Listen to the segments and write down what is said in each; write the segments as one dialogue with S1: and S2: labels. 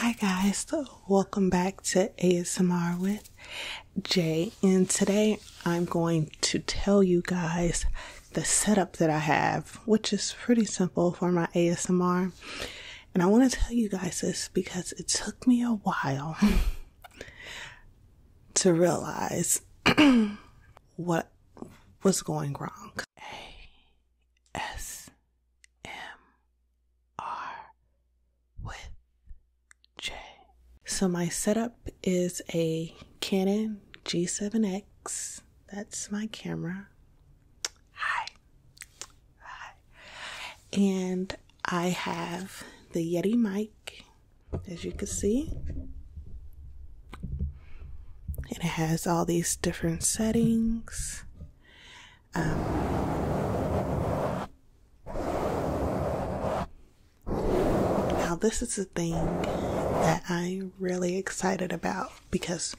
S1: Hi guys, welcome back to ASMR with Jay, and today I'm going to tell you guys the setup that I have, which is pretty simple for my ASMR. And I want to tell you guys this because it took me a while to realize what was going wrong. MR with J. So my setup is a Canon G7X. That's my camera. Hi. Hi. And I have the Yeti mic, as you can see it has all these different settings. Um, now, this is the thing that I'm really excited about because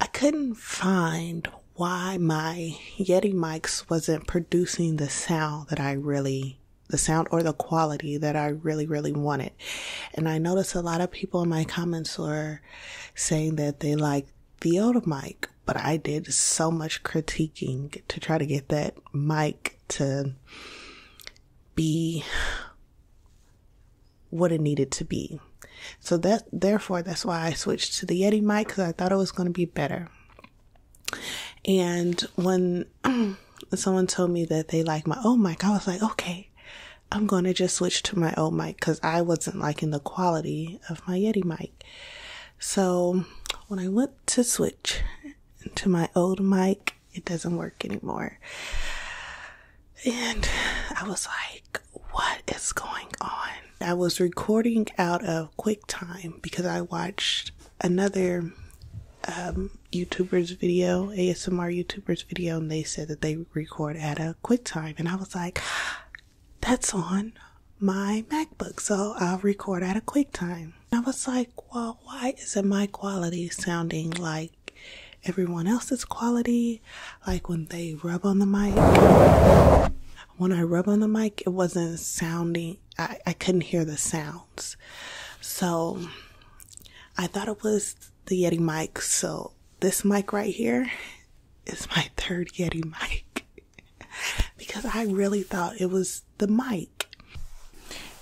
S1: I couldn't find why my Yeti mics wasn't producing the sound that I really, the sound or the quality that I really, really wanted. And I noticed a lot of people in my comments were saying that they like the old mic, but I did so much critiquing to try to get that mic to be what it needed to be. So that therefore that's why I switched to the Yeti mic because I thought it was going to be better. And when someone told me that they like my old mic, I was like, okay, I'm going to just switch to my old mic because I wasn't liking the quality of my Yeti mic. So when I went to switch to my old mic, it doesn't work anymore. And I was like, what is going on? I was recording out of QuickTime because I watched another um, YouTuber's video, ASMR YouTuber's video, and they said that they record at a quick time. And I was like, that's on my MacBook, so I'll record at a quick time. And I was like, well, why isn't my quality sounding like everyone else's quality? Like when they rub on the mic. When I rub on the mic, it wasn't sounding, I, I couldn't hear the sounds. So I thought it was the Yeti mic. So this mic right here is my third Yeti mic because I really thought it was the mic.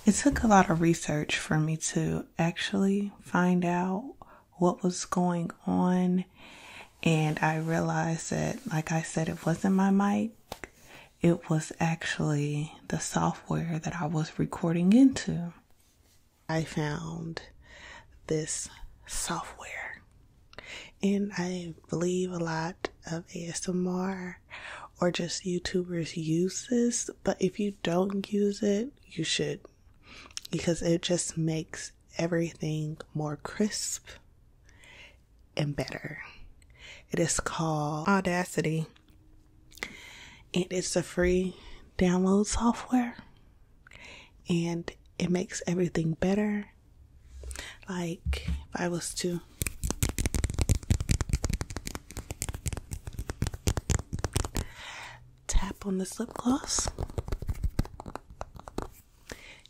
S1: It took a lot of research for me to actually find out what was going on. And I realized that, like I said, it wasn't my mic. It was actually the software that I was recording into. I found this software, and I believe a lot of ASMR or just YouTubers use this, but if you don't use it, you should because it just makes everything more crisp and better. It is called Audacity and it's a free download software and it makes everything better like if i was to tap on the lip gloss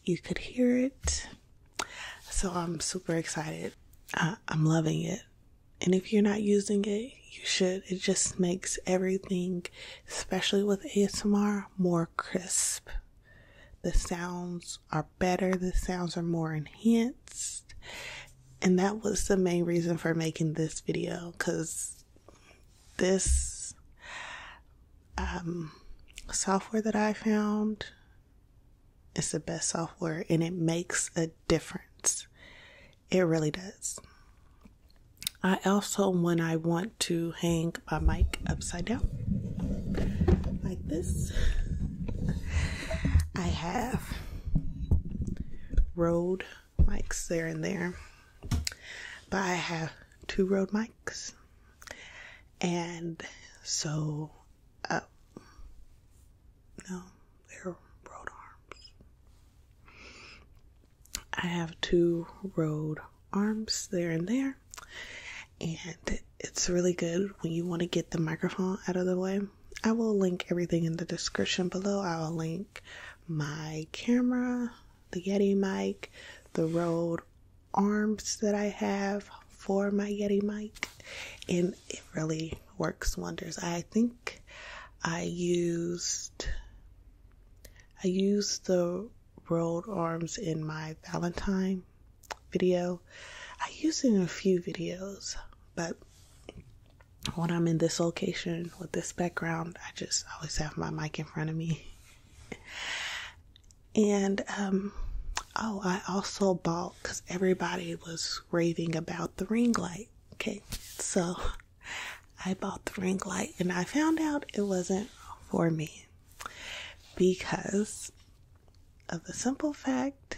S1: you could hear it so i'm super excited i'm loving it and if you're not using it, you should. It just makes everything, especially with ASMR, more crisp. The sounds are better, the sounds are more enhanced. And that was the main reason for making this video because this um, software that I found it's the best software and it makes a difference. It really does. I also, when I want to hang my mic upside down like this, I have Rode mics there and there, but I have two Rode mics, and so uh, no, they're road arms. I have two road arms there and there, and it's really good when you want to get the microphone out of the way. I will link everything in the description below. I'll link my camera, the Yeti mic, the Rode arms that I have for my Yeti mic, and it really works wonders. I think I used I used the rolled arms in my Valentine video. I use it in a few videos, but when I'm in this location with this background, I just always have my mic in front of me. And um, oh, I also bought because everybody was raving about the ring light. Okay, so I bought the ring light and I found out it wasn't for me because of the simple fact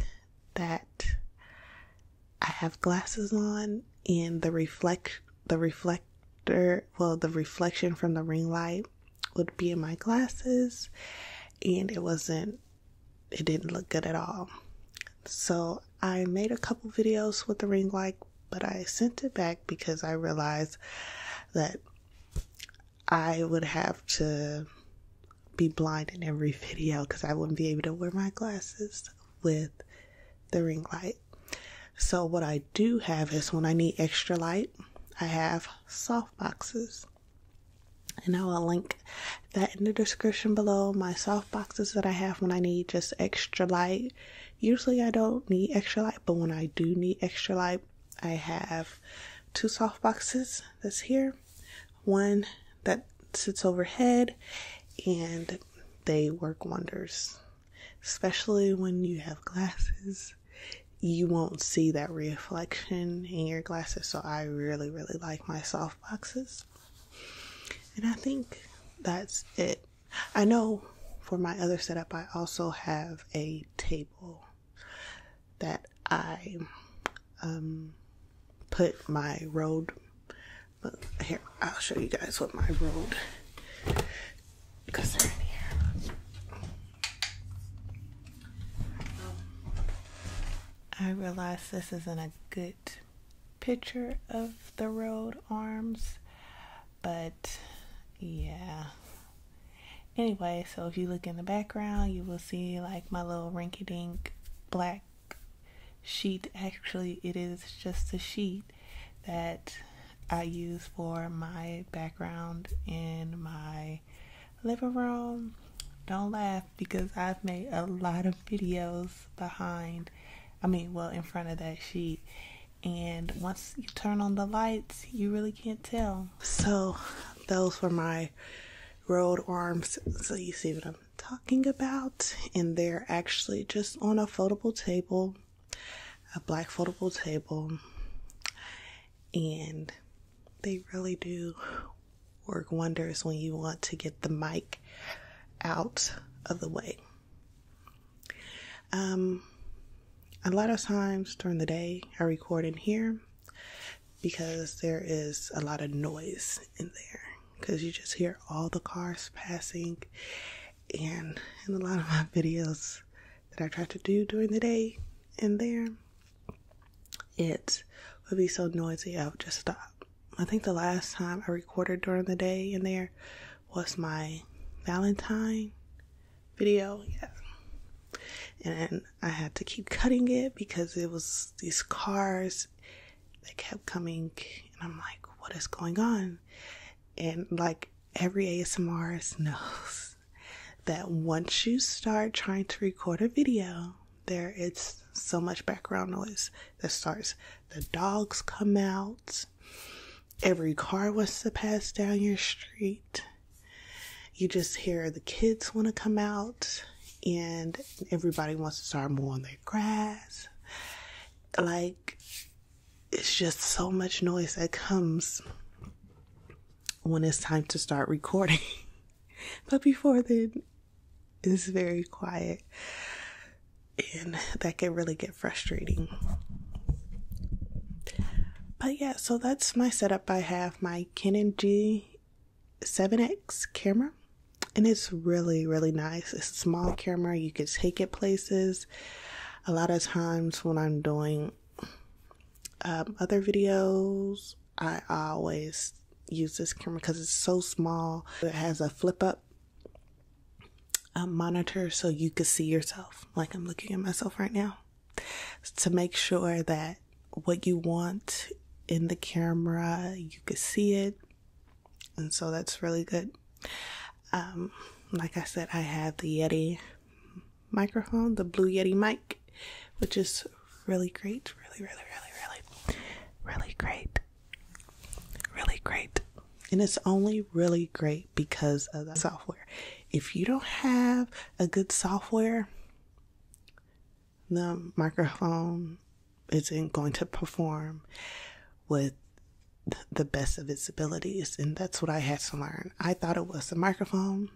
S1: that I have glasses on and the reflect the reflector well the reflection from the ring light would be in my glasses and it wasn't it didn't look good at all so i made a couple videos with the ring light but i sent it back because i realized that i would have to be blind in every video because i wouldn't be able to wear my glasses with the ring light so what i do have is when i need extra light i have soft boxes and I will link that in the description below. My soft boxes that I have when I need just extra light. Usually I don't need extra light, but when I do need extra light, I have two soft boxes that's here, one that sits overhead, and they work wonders, especially when you have glasses you won't see that reflection in your glasses. So I really, really like my soft boxes. And I think that's it. I know for my other setup, I also have a table that I um, put my road. But here, I'll show you guys what my road I realize this isn't a good picture of the road arms, but yeah. Anyway, so if you look in the background, you will see like my little rinky dink black sheet. Actually, it is just a sheet that I use for my background in my living room. Don't laugh because I've made a lot of videos behind, I mean, well, in front of that sheet. And once you turn on the lights, you really can't tell. So, those were my rolled arms. So, you see what I'm talking about. And they're actually just on a foldable table a black foldable table, and they really do work wonders when you want to get the mic out of the way. Um, a lot of times during the day, I record in here because there is a lot of noise in there because you just hear all the cars passing and in a lot of my videos that I try to do during the day and there, it would be so noisy I would just stop. I think the last time I recorded during the day in there was my Valentine video, yeah. And I had to keep cutting it because it was these cars that kept coming, and I'm like, what is going on? And like every ASMRist knows that once you start trying to record a video, there it's so much background noise that starts. The dogs come out. Every car wants to pass down your street. You just hear the kids want to come out, and everybody wants to start mowing their grass. Like, it's just so much noise that comes when it's time to start recording. but before then, it's very quiet. And that can really get frustrating. But yeah, so that's my setup. I have my Canon G7X camera and it's really really nice it's a small camera you can take it places a lot of times when i'm doing um, other videos i always use this camera because it's so small it has a flip up um, monitor so you can see yourself like i'm looking at myself right now to make sure that what you want in the camera you can see it and so that's really good. Um, like I said, I have the Yeti microphone, the Blue Yeti mic, which is really great, really, really, really, really, really great, really great. And it's only really great because of the software. If you don't have a good software, the microphone isn't going to perform with the best of its abilities. And that's what I had to learn. I thought it was the microphone.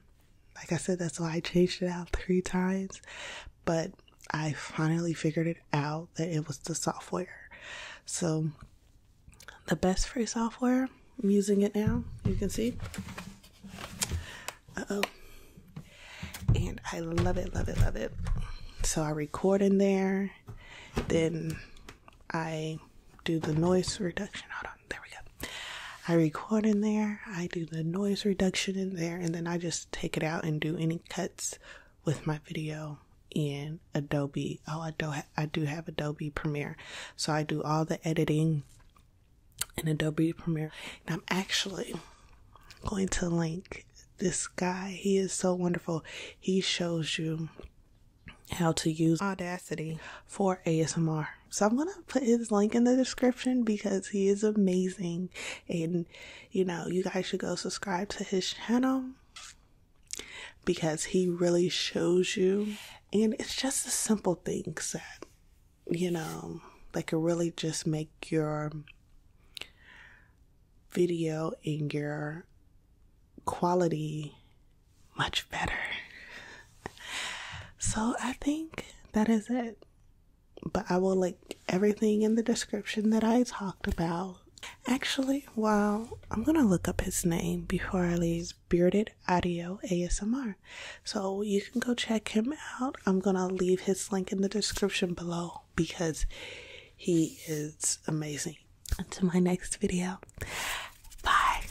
S1: Like I said, that's why I changed it out three times. But I finally figured it out that it was the software. So, the best free software, I'm using it now. You can see. Uh oh and I love it, love it, love it. So I record in there, then I do the noise reduction. Hold on, there we go. I record in there, I do the noise reduction in there, and then I just take it out and do any cuts with my video in Adobe. Oh, I do I do have Adobe Premiere, so I do all the editing in Adobe Premiere, and I'm actually going to link this guy. He is so wonderful. He shows you how to use Audacity for ASMR. So I'm going to put his link in the description because he is amazing. And, you know, you guys should go subscribe to his channel because he really shows you. And it's just the simple things that, you know, that could really just make your video and your quality much better. so I think that is it. But I will link everything in the description that I talked about. Actually, wow, I'm gonna look up his name before I leave Bearded Audio ASMR. So you can go check him out I'm gonna leave his link in the description below because he is amazing. Until my next video, bye.